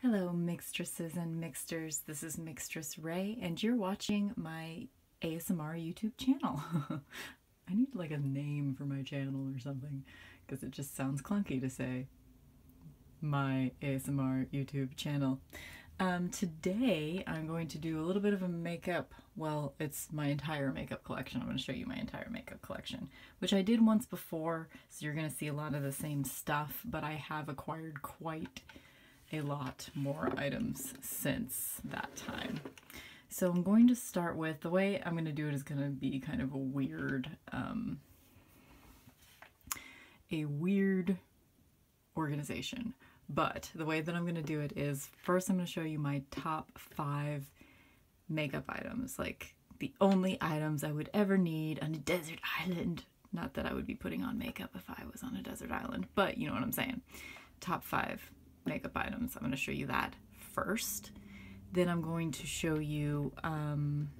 Hello, mixtresses and mixters. This is Mixtress Ray, and you're watching my ASMR YouTube channel. I need like a name for my channel or something because it just sounds clunky to say my ASMR YouTube channel. Um, today I'm going to do a little bit of a makeup. Well, it's my entire makeup collection. I'm going to show you my entire makeup collection, which I did once before so you're going to see a lot of the same stuff, but I have acquired quite a lot more items since that time. So I'm going to start with, the way I'm going to do it is going to be kind of a weird, um, a weird organization. But the way that I'm going to do it is first I'm going to show you my top five makeup items, like the only items I would ever need on a desert island. Not that I would be putting on makeup if I was on a desert island, but you know what I'm saying. Top five makeup items. I'm going to show you that first. Then I'm going to show you, um,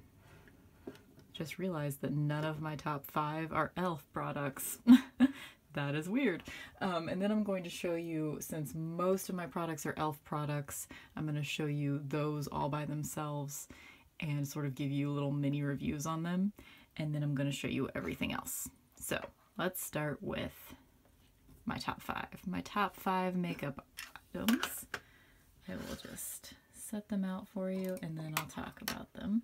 just realized that none of my top five are e.l.f. products. that is weird. Um, and then I'm going to show you, since most of my products are e.l.f. products, I'm going to show you those all by themselves and sort of give you little mini reviews on them. And then I'm going to show you everything else. So let's start with my top five. My top five makeup items. I will just set them out for you and then I'll talk about them.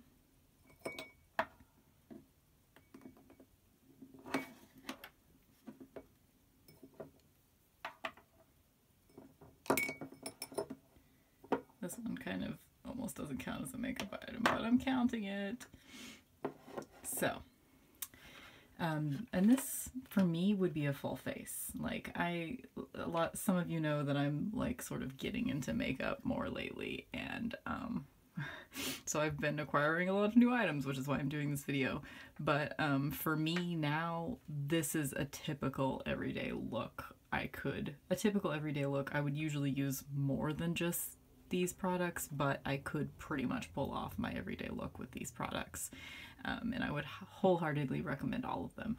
This one kind of almost doesn't count as a makeup item, but I'm counting it. So, um, and this for me would be a full face. Like I, a lot, some of you know that I'm like sort of getting into makeup more lately and, um, so I've been acquiring a lot of new items, which is why I'm doing this video. But um, for me now, this is a typical everyday look I could. A typical everyday look I would usually use more than just these products, but I could pretty much pull off my everyday look with these products. Um, and I would wholeheartedly recommend all of them.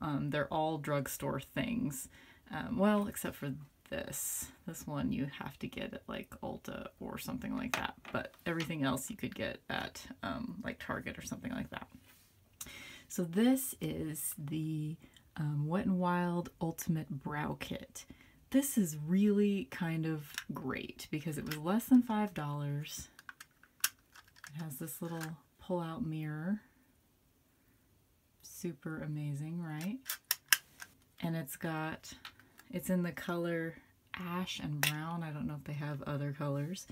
Um, they're all drugstore things. Um, well, except for this. This one you have to get at like Ulta or something like that, but everything else you could get at like Target or something like that. So this is the um, Wet n Wild Ultimate Brow Kit. This is really kind of great because it was less than $5. It has this little pull-out mirror. Super amazing, right? And it's got, it's in the color ash and brown. I don't know if they have other colors,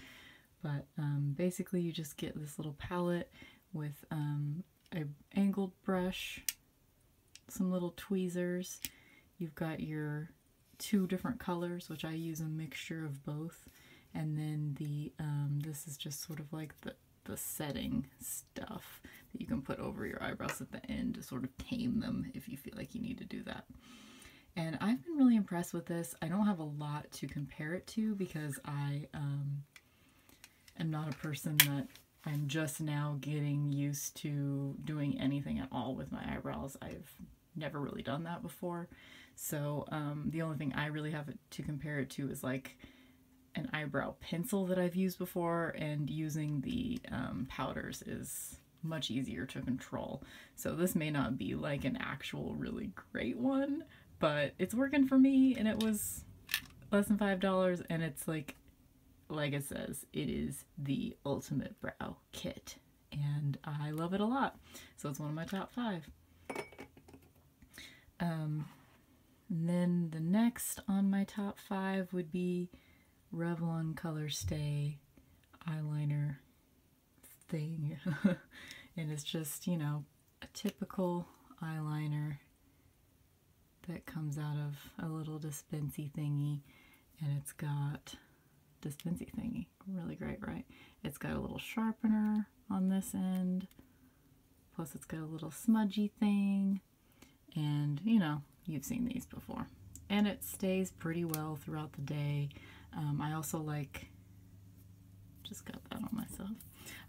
but um, basically you just get this little palette with um, a angled brush, some little tweezers. You've got your two different colors, which I use a mixture of both. And then the um, this is just sort of like the, the setting stuff that you can put over your eyebrows at the end to sort of tame them if you feel like you need to do that. And I've been really impressed with this. I don't have a lot to compare it to because I um, am not a person that I'm just now getting used to doing anything at all with my eyebrows. I've never really done that before. So um, the only thing I really have to compare it to is like an eyebrow pencil that I've used before and using the um, powders is much easier to control. So this may not be like an actual really great one, but it's working for me and it was less than $5 and it's like, like it says, it is the ultimate brow kit and I love it a lot. So it's one of my top five. Um, then the next on my top five would be Revlon Color Stay Eyeliner thing. and it's just, you know, a typical eyeliner that comes out of a little dispensy thingy. And it's got dispensy thingy. Really great, right? It's got a little sharpener on this end. Plus it's got a little smudgy thing. And, you know, you've seen these before. And it stays pretty well throughout the day. Um, I also like just got that on myself.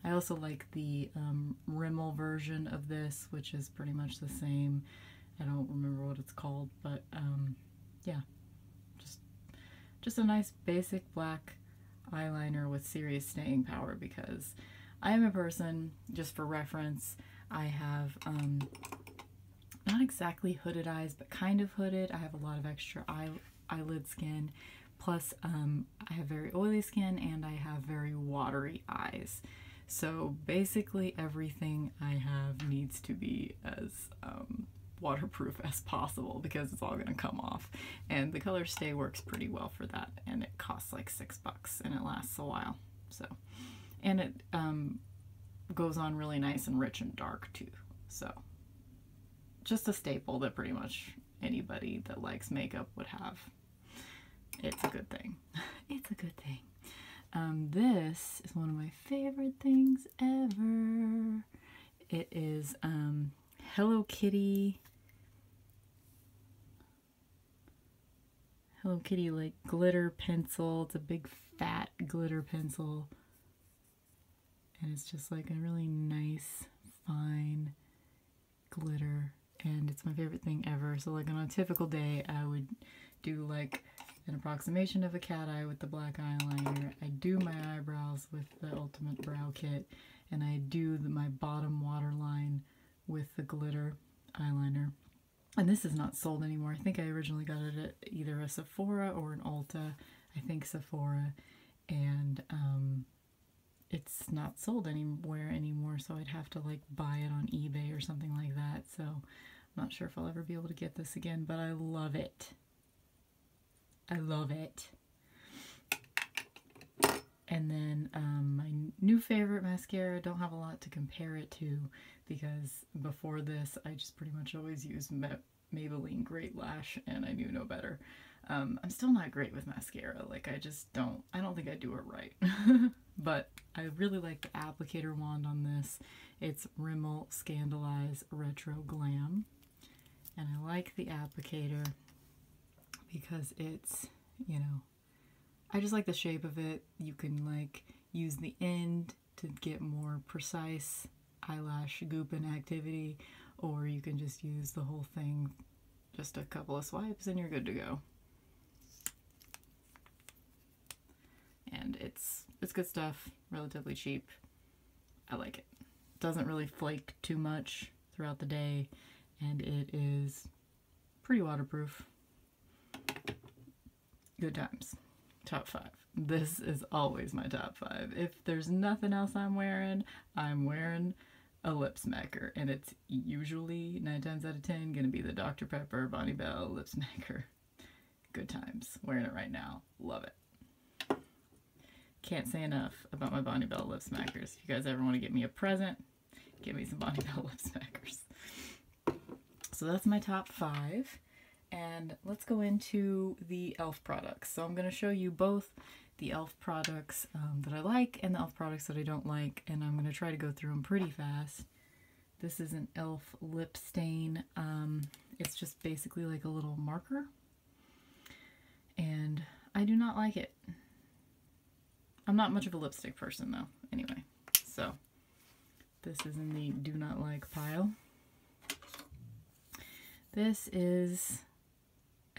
I also like the um, Rimmel version of this, which is pretty much the same. I don't remember what it's called, but um, yeah, just just a nice basic black eyeliner with serious staying power because I am a person, just for reference, I have um, not exactly hooded eyes, but kind of hooded. I have a lot of extra eye eyelid skin. Plus, um, I have very oily skin and I have very watery eyes. So basically everything I have needs to be as um, waterproof as possible because it's all gonna come off. And the Color Stay works pretty well for that and it costs like six bucks and it lasts a while. So, and it um, goes on really nice and rich and dark too. So just a staple that pretty much anybody that likes makeup would have. It's a good thing. It's a good thing. Um, this is one of my favorite things ever. It is um, Hello Kitty. Hello Kitty like glitter pencil. It's a big fat glitter pencil and it's just like a really nice, fine glitter. And it's my favorite thing ever. So like on a typical day, I would do like an approximation of a cat eye with the black eyeliner. I do my eyebrows with the Ultimate Brow Kit, and I do my bottom waterline with the glitter eyeliner. And this is not sold anymore. I think I originally got it at either a Sephora or an Ulta. I think Sephora and um, it's not sold anywhere anymore so I'd have to like buy it on eBay or something like that so I'm not sure if I'll ever be able to get this again but I love it I love it and then um, my new favorite mascara don't have a lot to compare it to because before this I just pretty much always use Maybelline Great Lash and I knew no better. Um, I'm still not great with mascara. Like I just don't, I don't think I do it right. but I really like the applicator wand on this. It's Rimmel Scandalize Retro Glam. And I like the applicator because it's, you know, I just like the shape of it. You can like use the end to get more precise eyelash goop and activity, or you can just use the whole thing, just a couple of swipes, and you're good to go. And it's it's good stuff, relatively cheap. I like it. Doesn't really flake too much throughout the day, and it is pretty waterproof. Good times. Top five. This is always my top five. If there's nothing else I'm wearing, I'm wearing a lip smacker, and it's usually nine times out of ten gonna be the Dr. Pepper Bonnie Bell lip smacker. Good times. Wearing it right now. Love it. Can't say enough about my Bonnie Bell lip smackers. If you guys ever want to get me a present, give me some Bonnie Bell lip smackers. So that's my top five and let's go into the e.l.f. products. So I'm going to show you both the e.l.f. products um, that I like and the e.l.f. products that I don't like, and I'm going to try to go through them pretty fast. This is an e.l.f. lip stain. Um, it's just basically like a little marker, and I do not like it. I'm not much of a lipstick person, though, anyway. So this is in the do not like pile. This is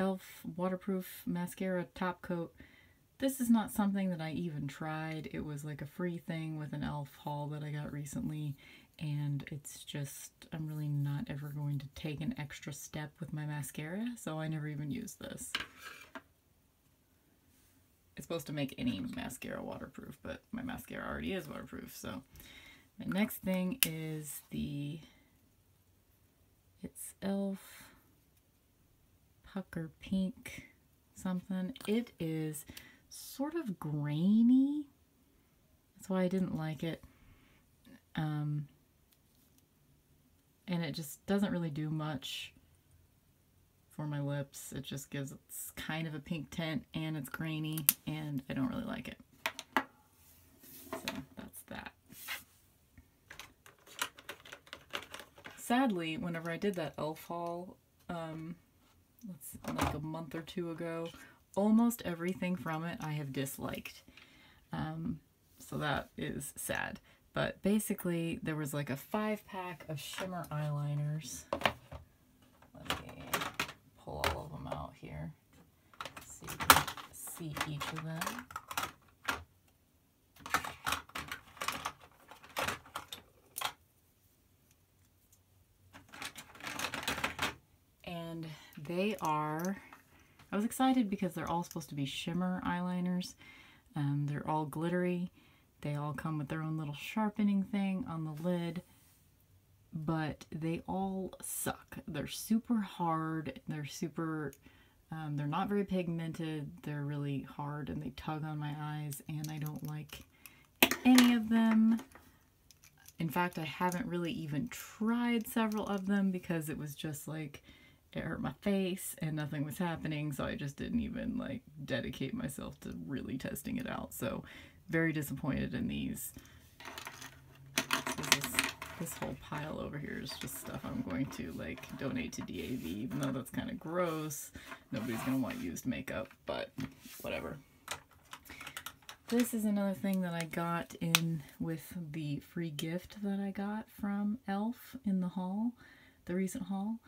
e.l.f. Waterproof Mascara Top Coat. This is not something that I even tried. It was like a free thing with an e.l.f. haul that I got recently, and it's just, I'm really not ever going to take an extra step with my mascara, so I never even used this. It's supposed to make any mascara waterproof, but my mascara already is waterproof, so my next thing is the It's e.l.f. Pucker Pink something. It is sort of grainy. That's why I didn't like it. Um, and it just doesn't really do much for my lips. It just gives it kind of a pink tint and it's grainy and I don't really like it. So that's that. Sadly, whenever I did that elf haul, um, like a month or two ago, almost everything from it I have disliked. Um, so that is sad. But basically, there was like a five pack of shimmer eyeliners. Let me pull all of them out here here. see each of them. And they are, I was excited because they're all supposed to be shimmer eyeliners. Um, they're all glittery. They all come with their own little sharpening thing on the lid but they all suck. They're super hard. They're super, um, they're not very pigmented. They're really hard and they tug on my eyes and I don't like any of them. In fact, I haven't really even tried several of them because it was just like, it hurt my face and nothing was happening. So I just didn't even like dedicate myself to really testing it out. So very disappointed in these. This, whole pile over here is just stuff I'm going to like donate to DAV, even though that's kind of gross. Nobody's going to want used makeup, but whatever. This is another thing that I got in with the free gift that I got from e.l.f. in the haul, the recent haul.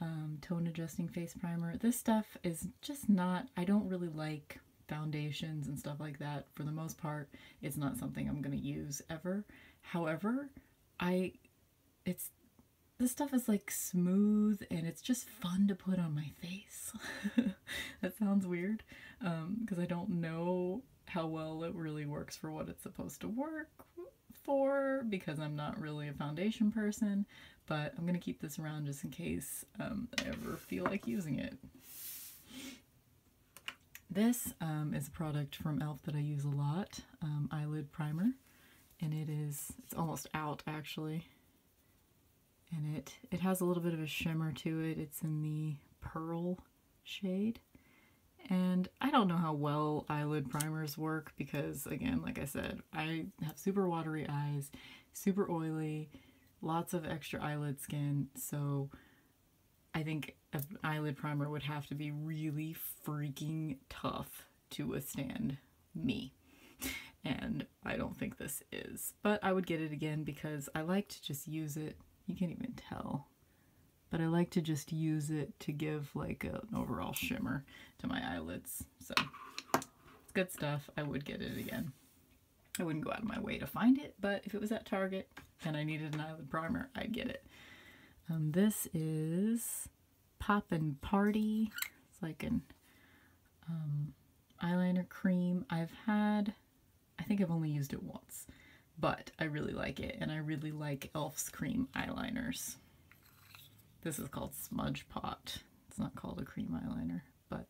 Um, tone adjusting face primer. This stuff is just not, I don't really like foundations and stuff like that, for the most part, it's not something I'm going to use ever. However, I, it's, this stuff is like smooth and it's just fun to put on my face. that sounds weird because um, I don't know how well it really works for what it's supposed to work for because I'm not really a foundation person, but I'm going to keep this around just in case um, I ever feel like using it. This um, is a product from e.l.f. that I use a lot, um, Eyelid Primer, and it is, it's almost out actually, and it, it has a little bit of a shimmer to it. It's in the Pearl shade, and I don't know how well eyelid primers work because, again, like I said, I have super watery eyes, super oily, lots of extra eyelid skin, so I think an eyelid primer would have to be really freaking tough to withstand me. And I don't think this is. But I would get it again because I like to just use it. You can't even tell. But I like to just use it to give like an overall shimmer to my eyelids. So it's good stuff. I would get it again. I wouldn't go out of my way to find it, but if it was at Target and I needed an eyelid primer, I'd get it. Um, this is Pop and Party. It's like an um, eyeliner cream. I've had, I think I've only used it once, but I really like it, and I really like e.l.f.'s cream eyeliners. This is called Smudge Pot. It's not called a cream eyeliner, but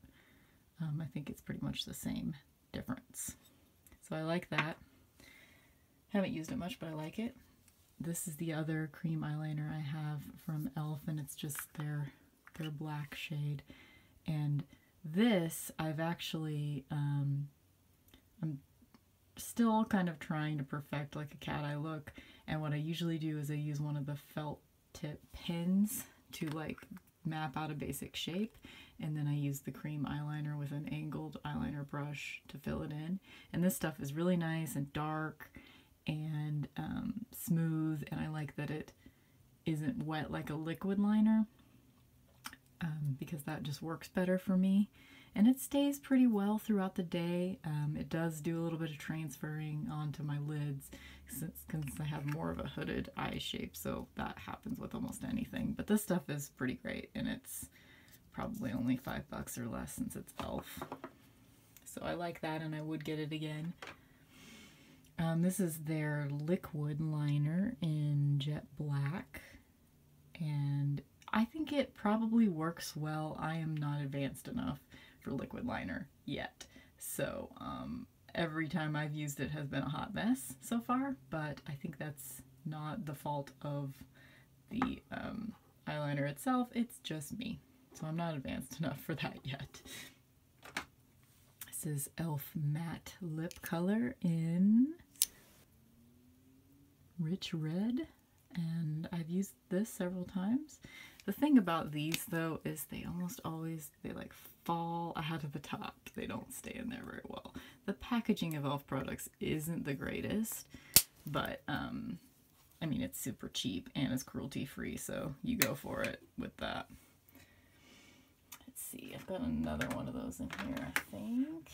um, I think it's pretty much the same difference. So I like that. Haven't used it much, but I like it. This is the other cream eyeliner I have from e.l.f. and it's just their, their black shade. And this I've actually, um, I'm still kind of trying to perfect like a cat eye look. And what I usually do is I use one of the felt tip pins to like map out a basic shape and then I use the cream eyeliner with an angled eyeliner brush to fill it in and this stuff is really nice and dark and um, smooth and I like that it isn't wet like a liquid liner um, because that just works better for me and it stays pretty well throughout the day. Um, it does do a little bit of transferring onto my lids because I have more of a hooded eye shape, so that happens with almost anything. But this stuff is pretty great, and it's probably only five bucks or less since it's e.l.f. So I like that, and I would get it again. Um, this is their liquid liner in jet black, and I think it probably works well. I am not advanced enough for liquid liner yet, so um, every time I've used it has been a hot mess so far, but I think that's not the fault of the um, eyeliner itself, it's just me. So I'm not advanced enough for that yet. This is e.l.f. Matte Lip Color in Rich Red, and I've used this several times. The thing about these though is they almost always they like fall ahead of the top. They don't stay in there very well. The packaging of Elf products isn't the greatest, but um, I mean it's super cheap and it's cruelty free, so you go for it with that. Let's see, I've got another one of those in here, I think.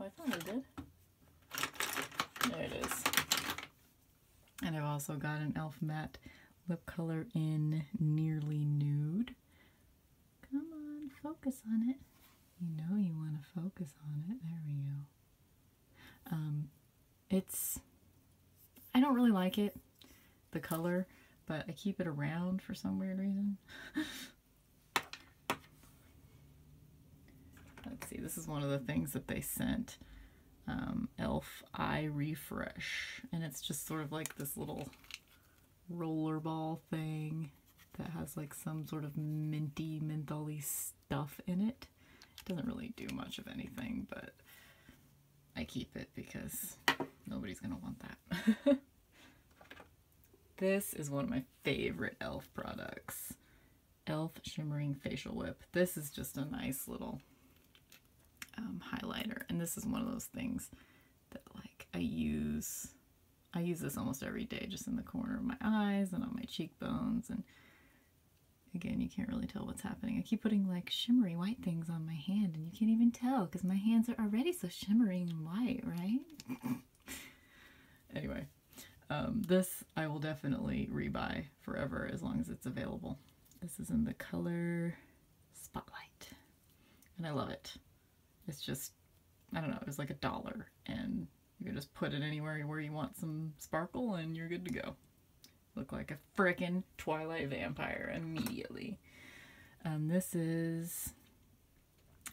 Oh, I found I did. There it is. And I've also got an e.l.f. matte lip color in Nearly Nude. Come on, focus on it. You know you want to focus on it. There we go. Um, it's. I don't really like it, the color, but I keep it around for some weird reason. Let's see, this is one of the things that they sent. Um, Elf Eye Refresh. And it's just sort of like this little rollerball thing that has like some sort of minty, mentholy stuff in it. It doesn't really do much of anything, but I keep it because nobody's gonna want that. this is one of my favorite e.l.f. products. e.l.f. Shimmering Facial Whip. This is just a nice little um, highlighter, and this is one of those things that like I use I use this almost every day just in the corner of my eyes and on my cheekbones and again you can't really tell what's happening I keep putting like shimmery white things on my hand and you can't even tell because my hands are already so shimmering and white right anyway um, this I will definitely rebuy forever as long as it's available this is in the color spotlight and I love it. It's just, I don't know, it was like a dollar, and you can just put it anywhere where you want some sparkle, and you're good to go. Look like a frickin' Twilight vampire immediately. Um, this is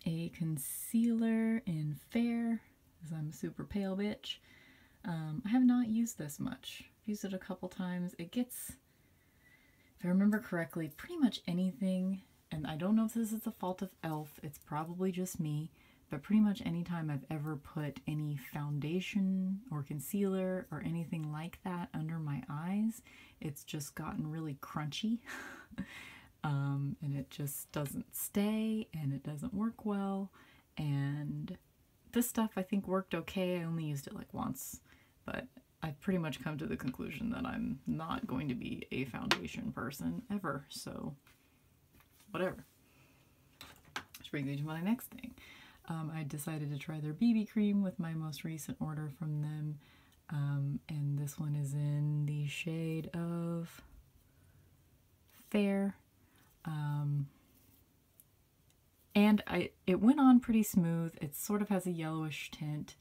a concealer in Fair, because I'm a super pale bitch. Um, I have not used this much. I've used it a couple times. It gets if I remember correctly, pretty much anything, and I don't know if this is the fault of e.l.f., it's probably just me, but pretty much anytime I've ever put any foundation or concealer or anything like that under my eyes, it's just gotten really crunchy. Um, and it just doesn't stay and it doesn't work well. And this stuff I think worked okay. I only used it like once, but I've pretty much come to the conclusion that I'm not going to be a foundation person ever, so whatever. Which brings me to my next thing. Um, I decided to try their BB cream with my most recent order from them, um, and this one is in the shade of Fair. Um, and I, it went on pretty smooth. It sort of has a yellowish tint,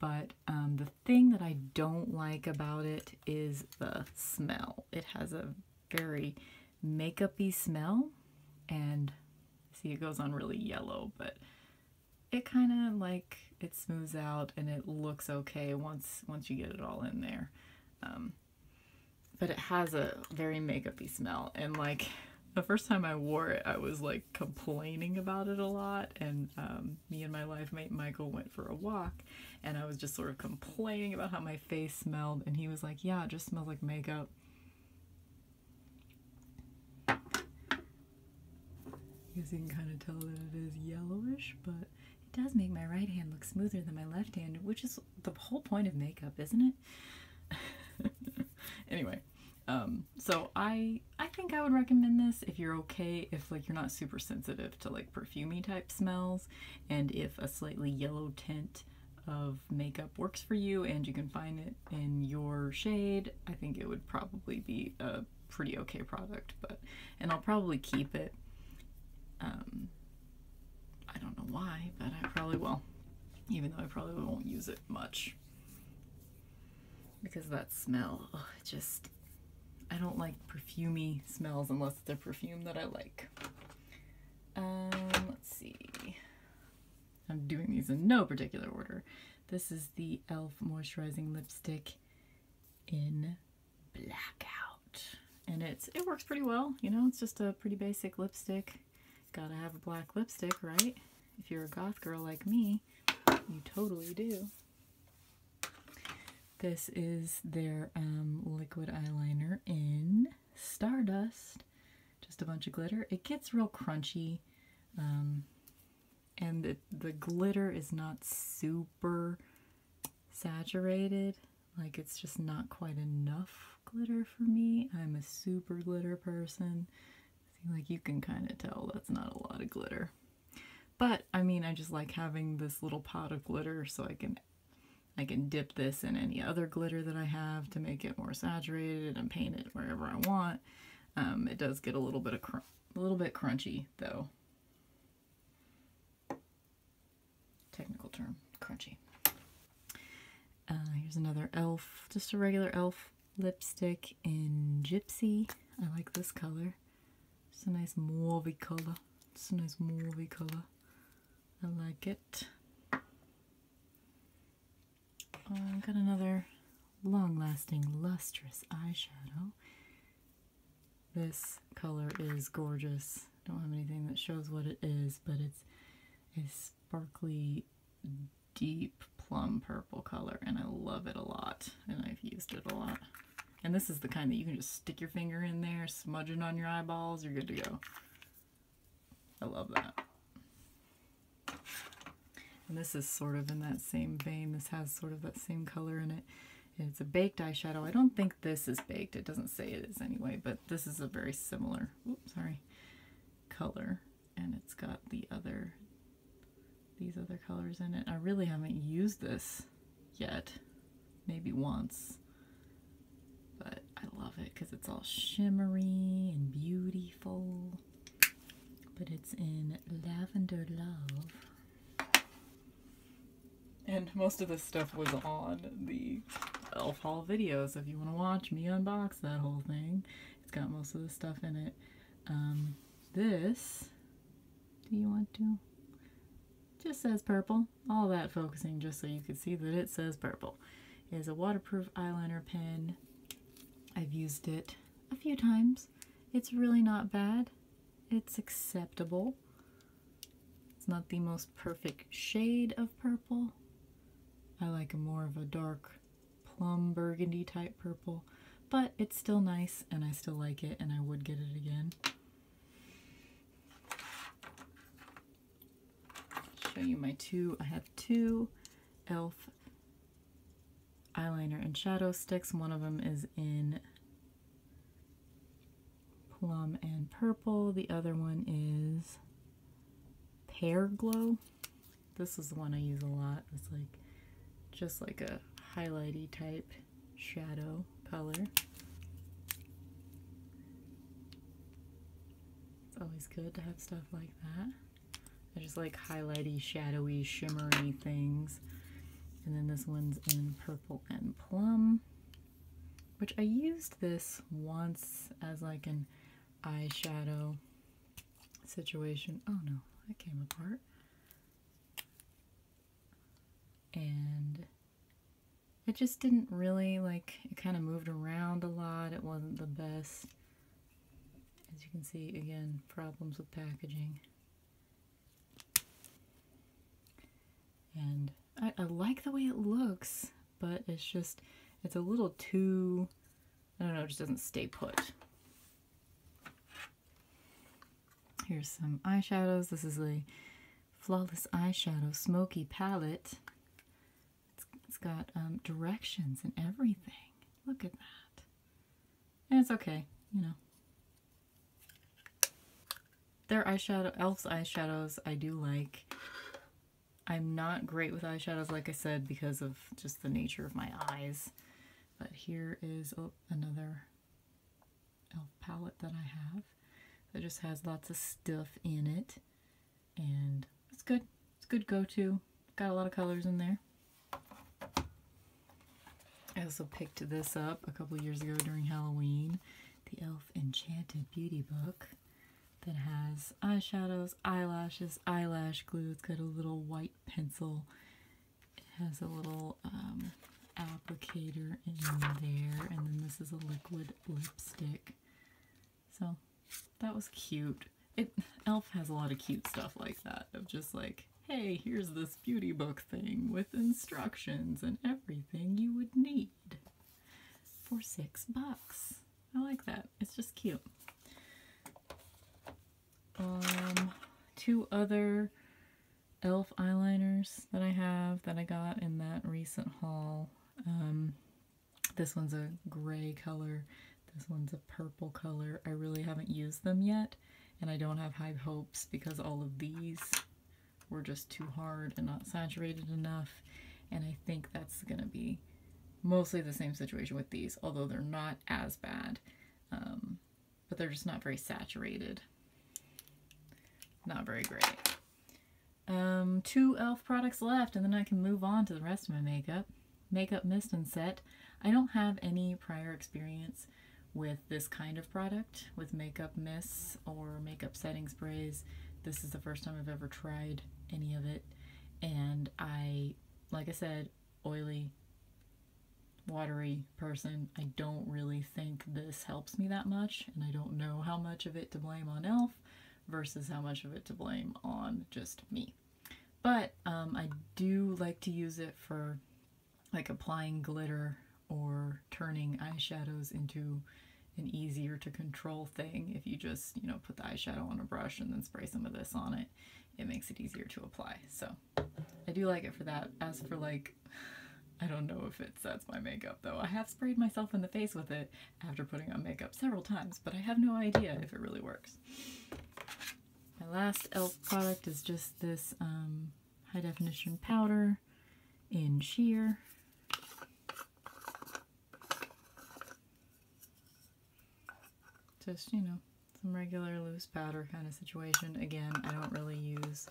but um, the thing that I don't like about it is the smell. It has a very makeupy smell, and see it goes on really yellow, but it kind of like, it smooths out and it looks okay once, once you get it all in there. Um, but it has a very makeupy smell, and like the first time I wore it, I was like complaining about it a lot. And um, me and my life mate Michael went for a walk, and I was just sort of complaining about how my face smelled. And he was like, Yeah, it just smells like makeup. I guess you can kind of tell that it is yellowish, but it does make my right hand look smoother than my left hand, which is the whole point of makeup, isn't it? anyway, um, so I I think I would recommend this if you're okay if like you're not super sensitive to like perfumy type smells and if a slightly yellow tint of makeup works for you and you can find it in your shade I think it would probably be a pretty okay product but and I'll probably keep it um, I don't know why but I probably will even though I probably won't use it much because that smell, just, I don't like perfumy smells unless it's a perfume that I like. Um, let's see. I'm doing these in no particular order. This is the e.l.f. moisturizing lipstick in blackout. And it's it works pretty well, you know, it's just a pretty basic lipstick. Gotta have a black lipstick, right? If you're a goth girl like me, you totally do. This is their um, liquid eyeliner in Stardust. Just a bunch of glitter. It gets real crunchy. Um, and the glitter is not super saturated. Like it's just not quite enough glitter for me. I'm a super glitter person like you can kind of tell that's not a lot of glitter. But I mean, I just like having this little pot of glitter so I can I can dip this in any other glitter that I have to make it more saturated and paint it wherever I want. Um, it does get a little bit of a little bit crunchy though. Technical term, crunchy. Uh, here's another elf, just a regular elf lipstick in Gypsy. I like this color. It's a nice mauvey color. It's a nice mauvey color. I like it. Oh, I've got another long-lasting lustrous eyeshadow. This color is gorgeous. I don't have anything that shows what it is, but it's a sparkly deep plum purple color and I love it a lot and I've used it a lot. And this is the kind that you can just stick your finger in there, smudging on your eyeballs, you're good to go. I love that. And this is sort of in that same vein. This has sort of that same color in it. It's a baked eyeshadow. I don't think this is baked. It doesn't say it is anyway, but this is a very similar, oops, sorry, color and it's got the other these other colors in it. I really haven't used this yet, maybe once, but I love it because it's all shimmery and beautiful, but it's in Lavender Love. And most of this stuff was on the Elf Haul videos. If you want to watch me unbox that whole thing, it's got most of the stuff in it. Um, this, do you want to? Just says purple. All that focusing just so you could see that it says purple. Is a waterproof eyeliner pen. I've used it a few times. It's really not bad. It's acceptable. It's not the most perfect shade of purple. I like a more of a dark plum burgundy type purple, but it's still nice and I still like it and I would get it again. Show you my two. I have two e.l.f. eyeliner and shadow sticks. One of them is in plum and purple. The other one is Pear Glow. This is the one I use a lot. It's like just like a highlighty type shadow color. It's always good to have stuff like that. I just like highlighty, shadowy, shimmery things. And then this one's in purple and plum, which I used this once as like an eyeshadow situation. Oh no, that came apart. And it just didn't really like it kind of moved around a lot. It wasn't the best. As you can see, again, problems with packaging. And I, I like the way it looks, but it's just, it's a little too, I don't know, it just doesn't stay put. Here's some eyeshadows. This is a Flawless Eyeshadow Smoky Palette. it's got um, directions and everything. Look at that. And it's okay, you know. Their eyeshadow, e.l.f.'s eyeshadows, I do like. I'm not great with eyeshadows, like I said, because of just the nature of my eyes. But here is oh, another elf palette that I have that just has lots of stuff in it. And it's good. It's good go-to. Got a lot of colors in there. I also picked this up a couple years ago during Halloween. The e.l.f. Enchanted Beauty Book that has eyeshadows, eyelashes, eyelash glue. It's got a little white pencil. It has a little um, applicator in there, and then this is a liquid lipstick. So that was cute. It Elf has a lot of cute stuff like that of just like, hey, here's this beauty book thing with instructions and everything you would need for six bucks. I like that. It's just cute. Um, two other e.l.f. eyeliners that I have that I got in that recent haul. Um, this one's a gray color. This one's a purple color. I really haven't used them yet, and I don't have high hopes because all of these were just too hard and not saturated enough, and I think that's going to be mostly the same situation with these, although they're not as bad. Um, but they're just not very saturated. Not very great. Um, two e.l.f. products left, and then I can move on to the rest of my makeup. Makeup Mist and Set. I don't have any prior experience with this kind of product, with makeup mist or makeup setting sprays. This is the first time I've ever tried any of it. And I, like I said, oily, watery person. I don't really think this helps me that much, and I don't know how much of it to blame on Elf versus how much of it to blame on just me. But um, I do like to use it for like applying glitter or turning eyeshadows into an easier to control thing if you just, you know, put the eyeshadow on a brush and then spray some of this on it it makes it easier to apply. So I do like it for that. As for like, I don't know if it sets my makeup though. I have sprayed myself in the face with it after putting on makeup several times, but I have no idea if it really works. My last e.l.f. product is just this um, high definition powder in sheer. Just, you know, some regular loose powder kind of situation. Again, I don't really use,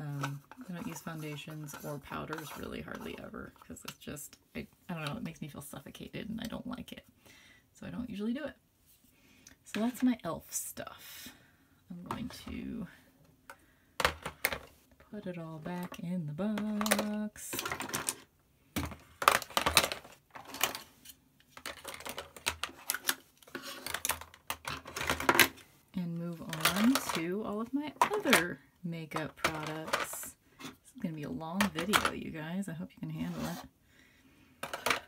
um, I don't use foundations or powders really hardly ever because it's just, I, I don't know, it makes me feel suffocated and I don't like it. So I don't usually do it. So that's my e.l.f. stuff. I'm going to put it all back in the box. And move on to all of my other makeup products. This is going to be a long video, you guys. I hope you can handle it.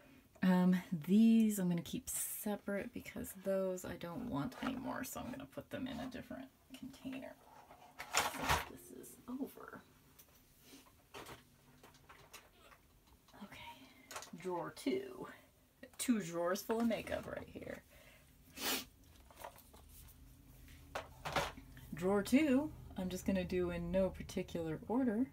Um, these I'm going to keep separate because those I don't want anymore, so I'm going to put them in a different container. this is over. Okay, drawer two. Two drawers full of makeup right here. Drawer two, I'm just going to do in no particular order.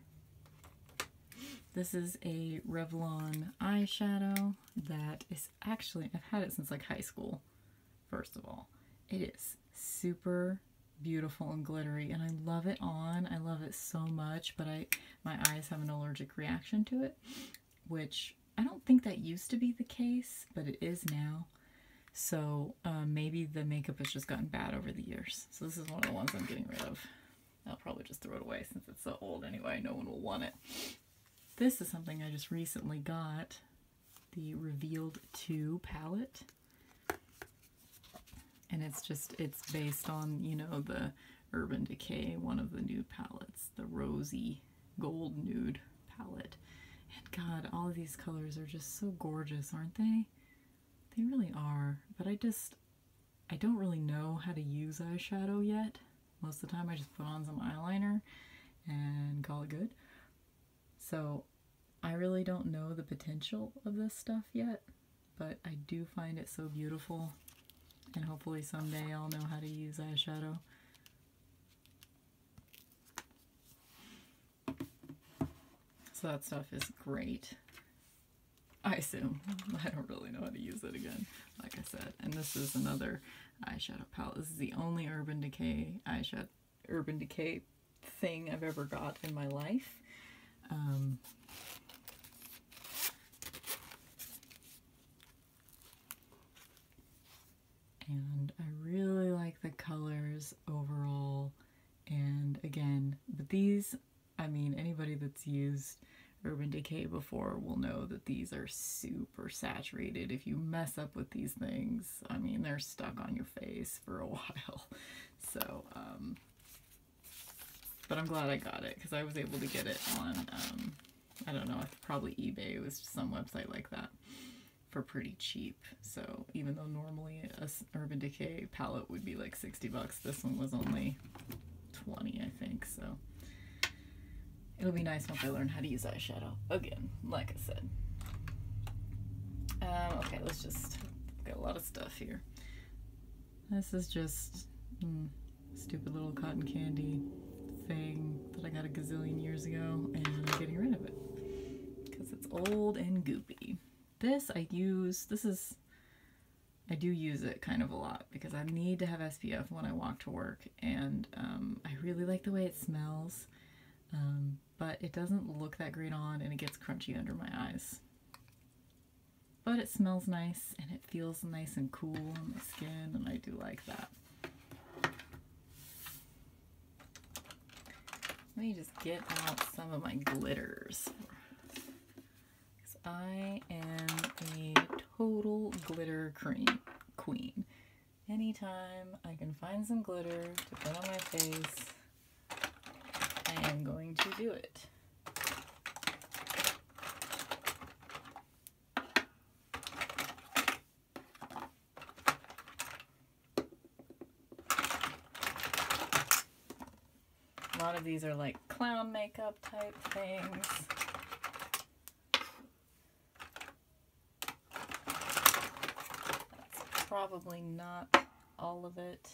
This is a Revlon eyeshadow that is actually, I've had it since like high school, first of all. It is super beautiful and glittery and I love it on. I love it so much, but I my eyes have an allergic reaction to it, which I don't think that used to be the case, but it is now. So uh, maybe the makeup has just gotten bad over the years. So this is one of the ones I'm getting rid of. I'll probably just throw it away since it's so old anyway. No one will want it. This is something I just recently got. The Revealed 2 palette. And it's just, it's based on, you know, the Urban Decay, one of the new palettes, the rosy gold nude palette. And God, all of these colors are just so gorgeous, aren't they? They really are. But I just, I don't really know how to use eyeshadow yet. Most of the time I just put on some eyeliner and call it good. So I really don't know the potential of this stuff yet, but I do find it so beautiful, and hopefully someday I'll know how to use eyeshadow. So that stuff is great. I assume. I don't really know how to use it again, like I said. And this is another eyeshadow palette. This is the only Urban Decay eyeshadow Urban Decay thing I've ever got in my life. Um, and I really like the colors overall. And again, but these, I mean, anybody that's used Urban Decay before will know that these are super saturated. If you mess up with these things, I mean, they're stuck on your face for a while. So, um, but I'm glad I got it because I was able to get it on, um, I don't know, probably eBay. It was some website like that for pretty cheap. So even though normally a Urban Decay palette would be like 60 bucks, this one was only 20, I think. So it'll be nice once I learn how to use eyeshadow again, like I said. Um, okay, let's just, get a lot of stuff here. This is just mm, stupid little cotton candy thing that I got a gazillion years ago and I'm getting rid of it because it's old and goopy. This I use, this is, I do use it kind of a lot because I need to have SPF when I walk to work and um, I really like the way it smells um, but it doesn't look that great on and it gets crunchy under my eyes. But it smells nice and it feels nice and cool on my skin, and I do like that. Let me just get out some of my glitters. Because I am a total glitter cream queen. Anytime I can find some glitter to put on my face, I am going to do it. A lot of these are like clown makeup type things. probably not all of it.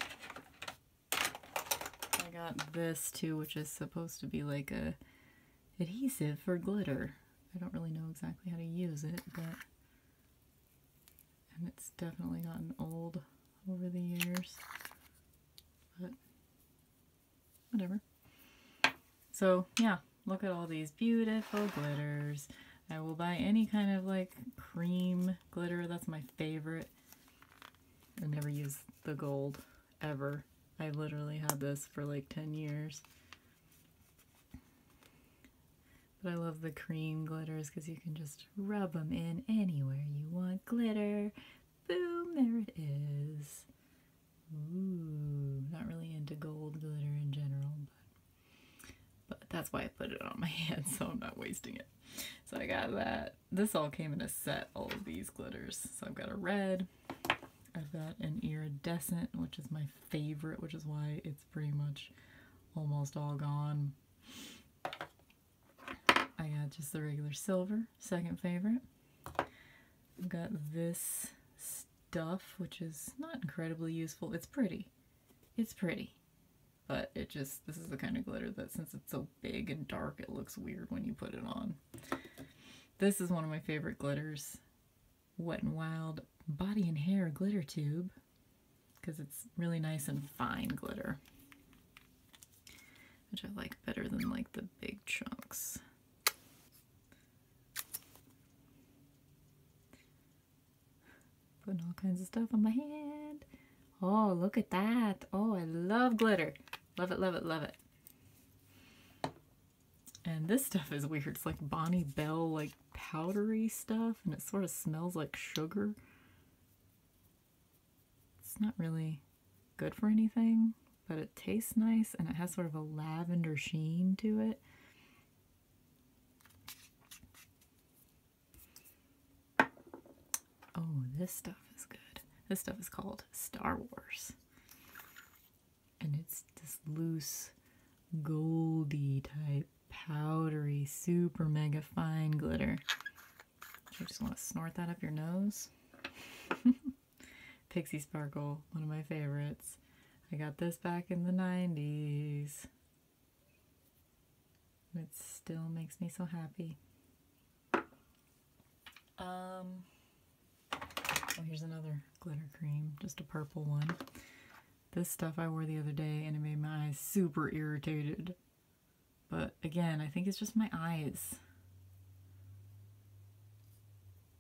I got this too, which is supposed to be like a adhesive for glitter. I don't really know exactly how to use it, but and it's definitely gotten old over the years, but whatever. So yeah, look at all these beautiful glitters. I will buy any kind of like cream glitter. That's my favorite. I never use the gold ever. I literally had this for like 10 years. But I love the cream glitters because you can just rub them in anywhere you want glitter. Boom, there it is. Ooh, not really into gold glitter in general, but, but that's why I put it on my hand so I'm not wasting it. So I got that this all came in a set, all of these glitters. So I've got a red, I've got an iridescent, which is my favorite, which is why it's pretty much almost all gone. I got just the regular silver, second favorite. I've got this stuff, which is not incredibly useful. It's pretty. It's pretty but it just, this is the kind of glitter that since it's so big and dark, it looks weird when you put it on. This is one of my favorite glitters, Wet n Wild Body and Hair Glitter Tube, because it's really nice and fine glitter, which I like better than like the big chunks. Putting all kinds of stuff on my hand. Oh, look at that. Oh, I love glitter. Love it, love it, love it. And this stuff is weird. It's like Bonnie Bell, like powdery stuff, and it sort of smells like sugar. It's not really good for anything, but it tastes nice, and it has sort of a lavender sheen to it. Oh, this stuff is good. This stuff is called Star Wars. And it's this loose, goldy type, powdery, super mega fine glitter. I just want to snort that up your nose? Pixie Sparkle, one of my favorites. I got this back in the 90s. It still makes me so happy. Um, oh, here's another glitter cream, just a purple one. This stuff I wore the other day and it made my eyes super irritated. But again, I think it's just my eyes.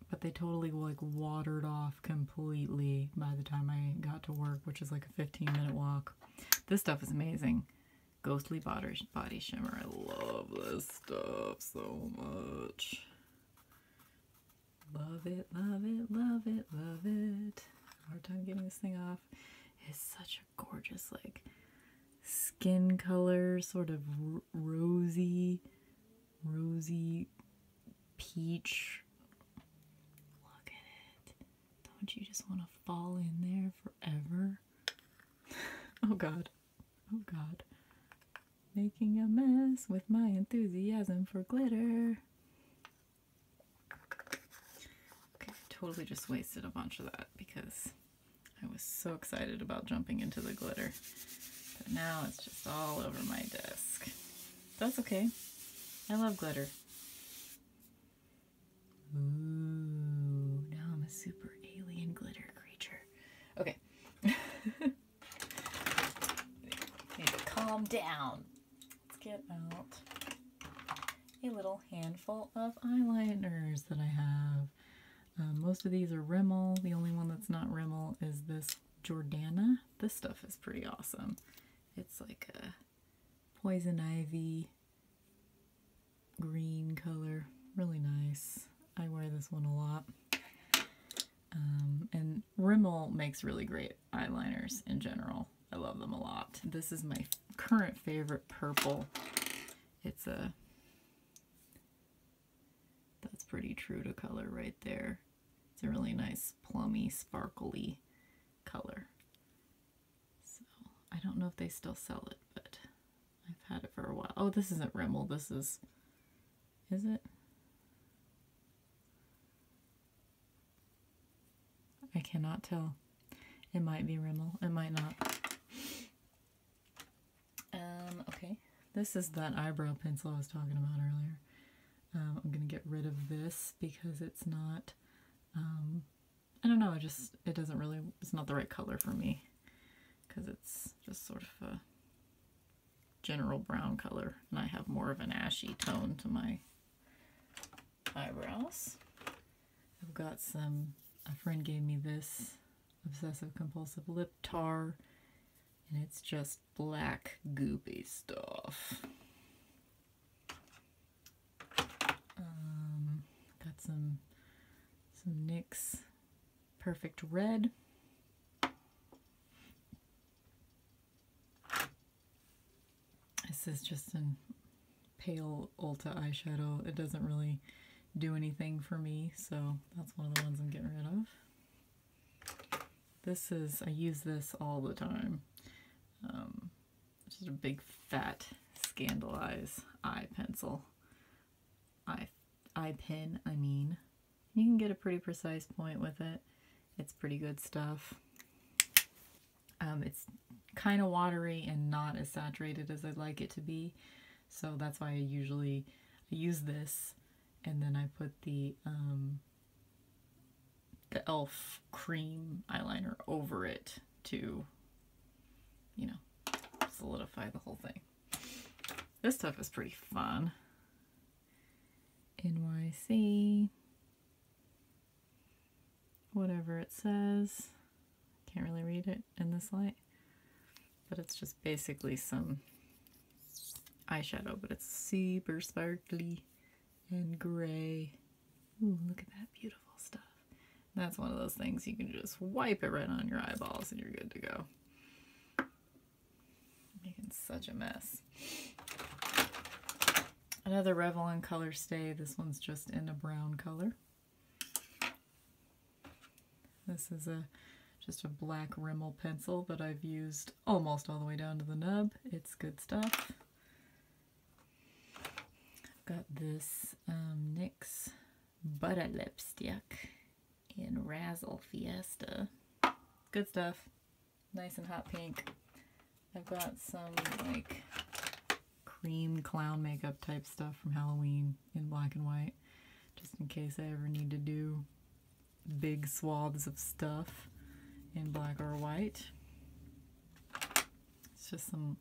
But they totally like watered off completely by the time I got to work, which is like a 15 minute walk. This stuff is amazing. Ghostly Body, Shimmer. I love this stuff so much. Love it, love it, love it, love it. Hard time getting this thing off. It's such a gorgeous, like, skin color, sort of rosy, rosy peach. Look at it. Don't you just want to fall in there forever? Oh god. Oh god. Making a mess with my enthusiasm for glitter. totally just wasted a bunch of that because I was so excited about jumping into the glitter. But now it's just all over my desk. That's okay. I love glitter. Ooh, now I'm a super alien glitter creature. Okay. calm down. Let's get out a little handful of eyeliners that I have. Um, most of these are Rimmel. The only one that's not Rimmel is this Jordana. This stuff is pretty awesome. It's like a poison ivy green color. Really nice. I wear this one a lot. Um, and Rimmel makes really great eyeliners in general. I love them a lot. This is my current favorite purple. It's a, that's pretty true to color right there. It's a really nice plummy, sparkly color. So I don't know if they still sell it, but I've had it for a while. Oh, this isn't Rimmel. This is, is it? I cannot tell. It might be Rimmel. It might not. Um, okay. This is that eyebrow pencil I was talking about earlier. Um, I'm going to get rid of this because it's not um, I don't know, it just, it doesn't really, it's not the right color for me because it's just sort of a general brown color and I have more of an ashy tone to my eyebrows. I've got some, a friend gave me this Obsessive Compulsive Lip Tar and it's just black goopy stuff. Um, got some some NYX Perfect Red. This is just an pale Ulta eyeshadow. It doesn't really do anything for me, so that's one of the ones I'm getting rid of. This is, I use this all the time. Um, just a big fat scandalize eye pencil. Eye, eye pin, I mean. You can get a pretty precise point with it. It's pretty good stuff. Um, it's kind of watery and not as saturated as I'd like it to be. So that's why I usually use this and then I put the um, the e.l.f. cream eyeliner over it to you know, solidify the whole thing. This stuff is pretty fun. NYC. Whatever it says. Can't really read it in this light. But it's just basically some eyeshadow, but it's super sparkly and gray look at that beautiful stuff. That's one of those things you can just wipe it right on your eyeballs and you're good to go. Making such a mess. Another Revlon color stay. This one's just in a brown color. This is a just a black Rimmel pencil that I've used almost all the way down to the nub. It's good stuff. Got this um, NYX Butter Lipstick in Razzle Fiesta. Good stuff. Nice and hot pink. I've got some like cream clown makeup type stuff from Halloween in black and white. Just in case I ever need to do big swaths of stuff in black or white. It's just some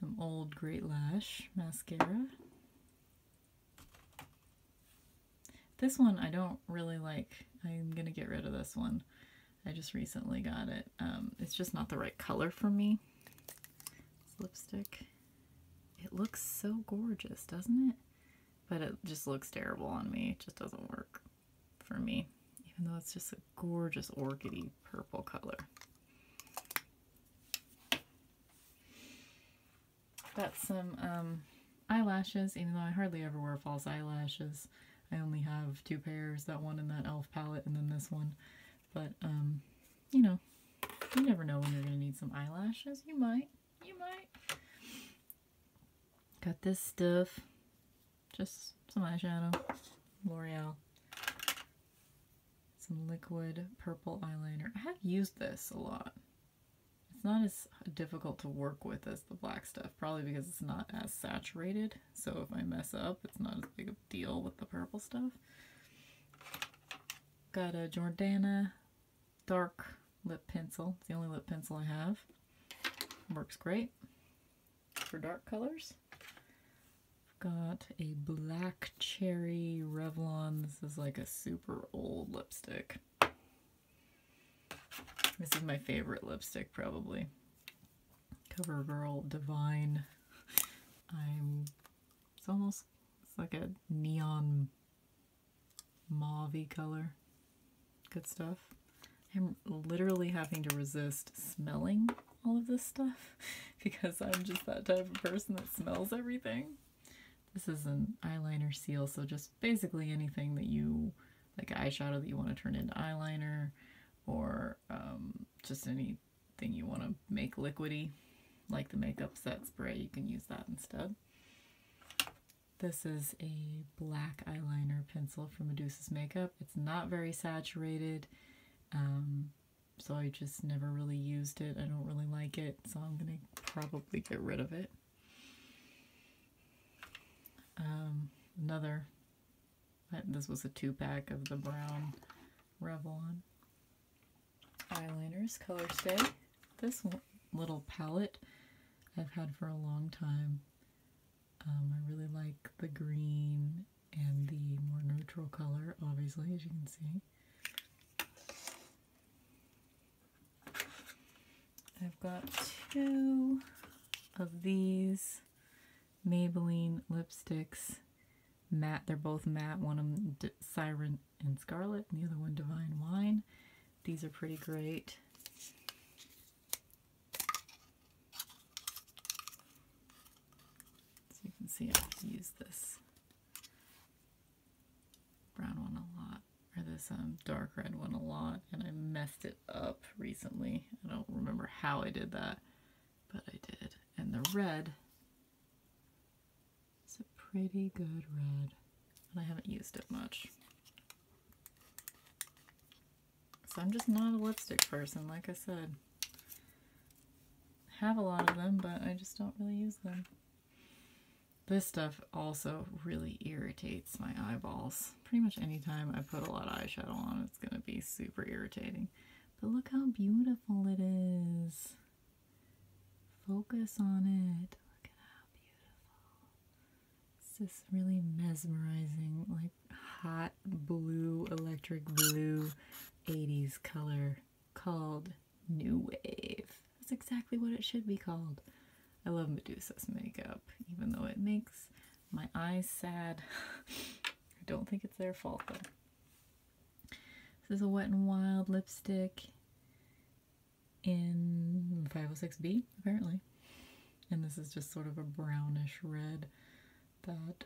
some old Great Lash mascara. This one I don't really like. I'm going to get rid of this one. I just recently got it. Um, it's just not the right color for me. lipstick. It looks so gorgeous, doesn't it? But it just looks terrible on me. It just doesn't work for me. Even though it's just a gorgeous orchidy purple color. Got some um, eyelashes, even though I hardly ever wear false eyelashes. I only have two pairs, that one in that e.l.f. palette and then this one. But, um, you know, you never know when you're going to need some eyelashes. You might. You might. Got this stuff. Just some eyeshadow. L'Oreal some liquid purple eyeliner. I have used this a lot. It's not as difficult to work with as the black stuff, probably because it's not as saturated. So if I mess up, it's not as big of a deal with the purple stuff. Got a Jordana dark lip pencil. It's the only lip pencil I have. Works great for dark colors. Got a black cherry Revlon. This is like a super old lipstick. This is my favorite lipstick, probably. CoverGirl Divine. I'm, it's almost, it's like a neon mauvey color. Good stuff. I'm literally having to resist smelling all of this stuff because I'm just that type of person that smells everything. This is an eyeliner seal, so just basically anything that you, like eyeshadow that you want to turn into eyeliner or um, just anything you want to make liquidy, like the makeup set spray, you can use that instead. This is a black eyeliner pencil from Medusa's Makeup. It's not very saturated. Um, so I just never really used it. I don't really like it, so I'm going to probably get rid of it. Um, another, this was a two-pack of the brown Revlon eyeliners, Color Stay. This little palette I've had for a long time. Um, I really like the green and the more neutral color, obviously, as you can see. I've got two of these Maybelline lipsticks. Matte, they're both matte. One is Siren and Scarlet, and the other one Divine Wine. These are pretty great. So you can see I've used this brown one a lot, or this um, dark red one a lot, and I messed it up recently. I don't remember how I did that, but I did. And the red its a pretty good red, and I haven't used it much. So I'm just not a lipstick person, like I said have a lot of them, but I just don't really use them. This stuff also really irritates my eyeballs. Pretty much anytime I put a lot of eyeshadow on, it's going to be super irritating. But look how beautiful it is. Focus on it. Look at how beautiful. It's just really mesmerizing, like hot blue, electric blue 80s color called New Wave. That's exactly what it should be called. I love Medusa's makeup, even though it makes my eyes sad. I don't think it's their fault though. This is a Wet n Wild lipstick in 506B, apparently. And this is just sort of a brownish red that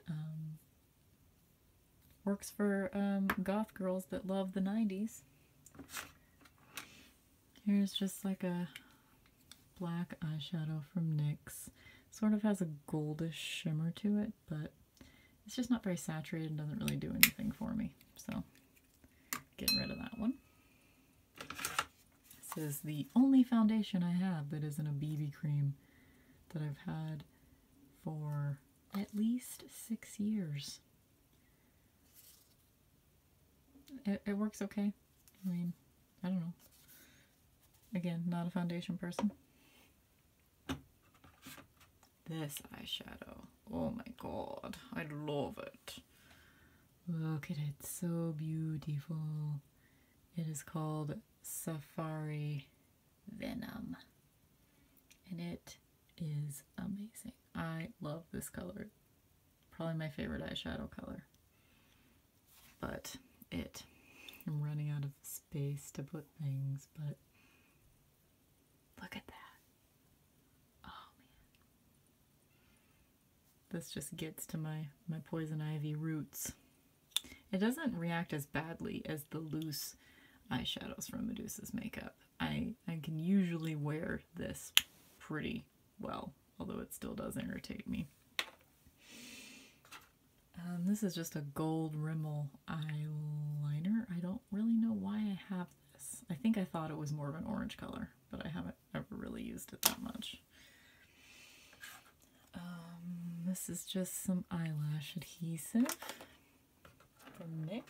Works for um, goth girls that love the 90s. Here's just like a black eyeshadow from NYX. Sort of has a goldish shimmer to it, but it's just not very saturated and doesn't really do anything for me. So getting rid of that one. This is the only foundation I have that isn't a BB cream that I've had for at least six years. It, works okay. I mean, I don't know. Again, not a foundation person. This eyeshadow. Oh my god. I love it. Look at it. So beautiful. It is called Safari Venom. And it is amazing. I love this color. Probably my favorite eyeshadow color. But it. I'm running out of space to put things, but look at that. Oh man. This just gets to my, my poison ivy roots. It doesn't react as badly as the loose eyeshadows from Medusa's makeup. I, I can usually wear this pretty well, although it still does irritate me. Um, this is just a gold Rimmel eyeliner. I don't really know why I have this. I think I thought it was more of an orange color, but I haven't ever really used it that much. Um, this is just some eyelash adhesive from NYX.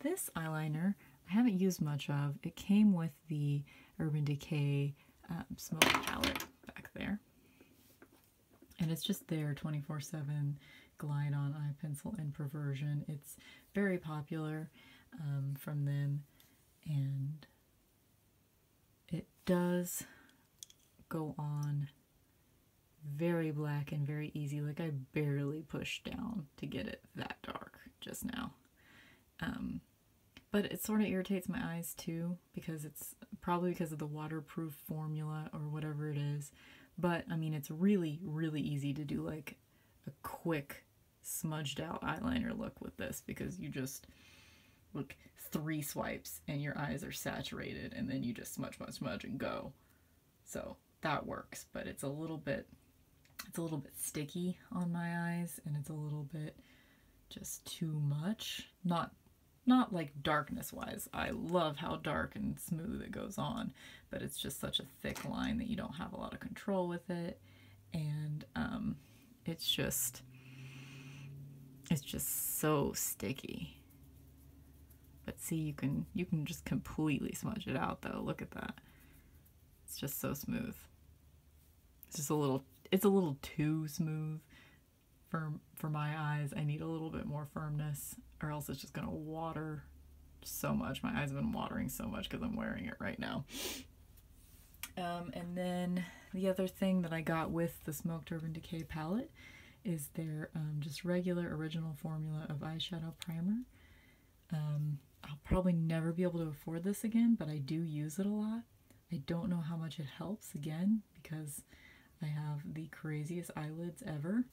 This eyeliner I haven't used much of. It came with the Urban Decay um, Smoke Palette back there. And it's just there 24-7 glide on eye pencil and perversion. It's very popular um, from them and it does go on very black and very easy. Like I barely pushed down to get it that dark just now. Um, but it sort of irritates my eyes too because it's probably because of the waterproof formula or whatever it is. But I mean, it's really, really easy to do like a quick smudged out eyeliner look with this because you just look three swipes and your eyes are saturated and then you just smudge, smudge, smudge and go. So that works, but it's a little bit, it's a little bit sticky on my eyes and it's a little bit just too much. Not, not like darkness wise. I love how dark and smooth it goes on, but it's just such a thick line that you don't have a lot of control with it. And, um, it's just, it's just so sticky. But see, you can you can just completely smudge it out though. Look at that. It's just so smooth. It's just a little it's a little too smooth for for my eyes. I need a little bit more firmness or else it's just going to water so much. My eyes have been watering so much cuz I'm wearing it right now. Um, and then the other thing that I got with the Smoke Turban Decay palette is their um, just regular original formula of eyeshadow primer. Um, I'll probably never be able to afford this again, but I do use it a lot. I don't know how much it helps again because I have the craziest eyelids ever,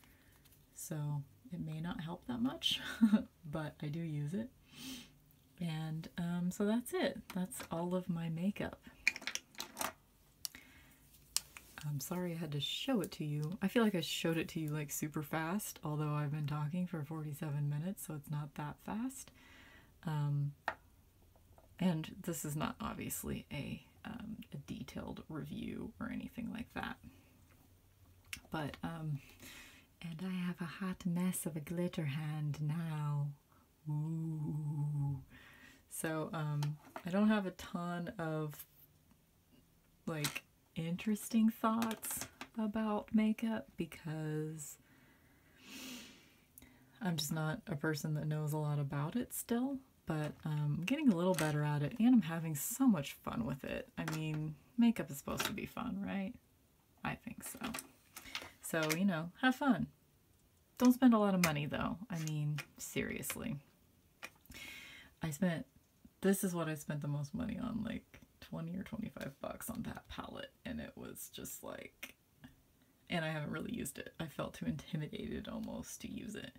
so it may not help that much, but I do use it. And um, so that's it. That's all of my makeup. I'm sorry I had to show it to you. I feel like I showed it to you like super fast, although I've been talking for 47 minutes, so it's not that fast. Um, and this is not obviously um, a, detailed review or anything like that. But, um, and I have a hot mess of a glitter hand now. So um, I don't have a ton of like interesting thoughts about makeup because I'm just not a person that knows a lot about it still, but um, I'm getting a little better at it and I'm having so much fun with it. I mean, makeup is supposed to be fun, right? I think so. So, you know, have fun. Don't spend a lot of money though. I mean, seriously. I spent, this is what I spent the most money on, like 20 or 25 bucks on that palette. And it was just like, and I haven't really used it. I felt too intimidated almost to use it.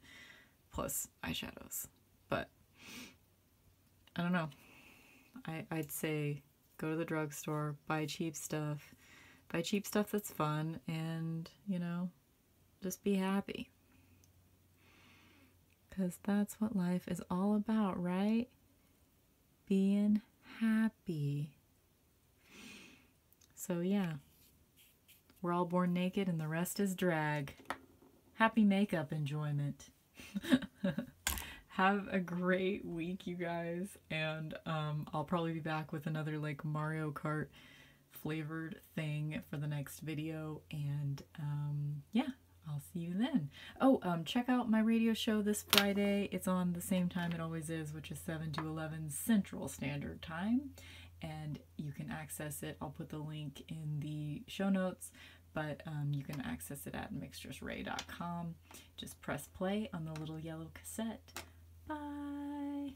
Plus eyeshadows. But I don't know. I, I'd say go to the drugstore, buy cheap stuff, buy cheap stuff that's fun, and, you know, just be happy. Because that's what life is all about, right? Being happy. So, yeah. We're all born naked and the rest is drag. Happy makeup enjoyment. Have a great week, you guys. And um, I'll probably be back with another like Mario Kart flavored thing for the next video. And um, yeah, I'll see you then. Oh, um, check out my radio show this Friday. It's on the same time it always is, which is 7 to 11 Central Standard Time. And you can access it. I'll put the link in the show notes, but um, you can access it at mixtresray.com. Just press play on the little yellow cassette. Bye.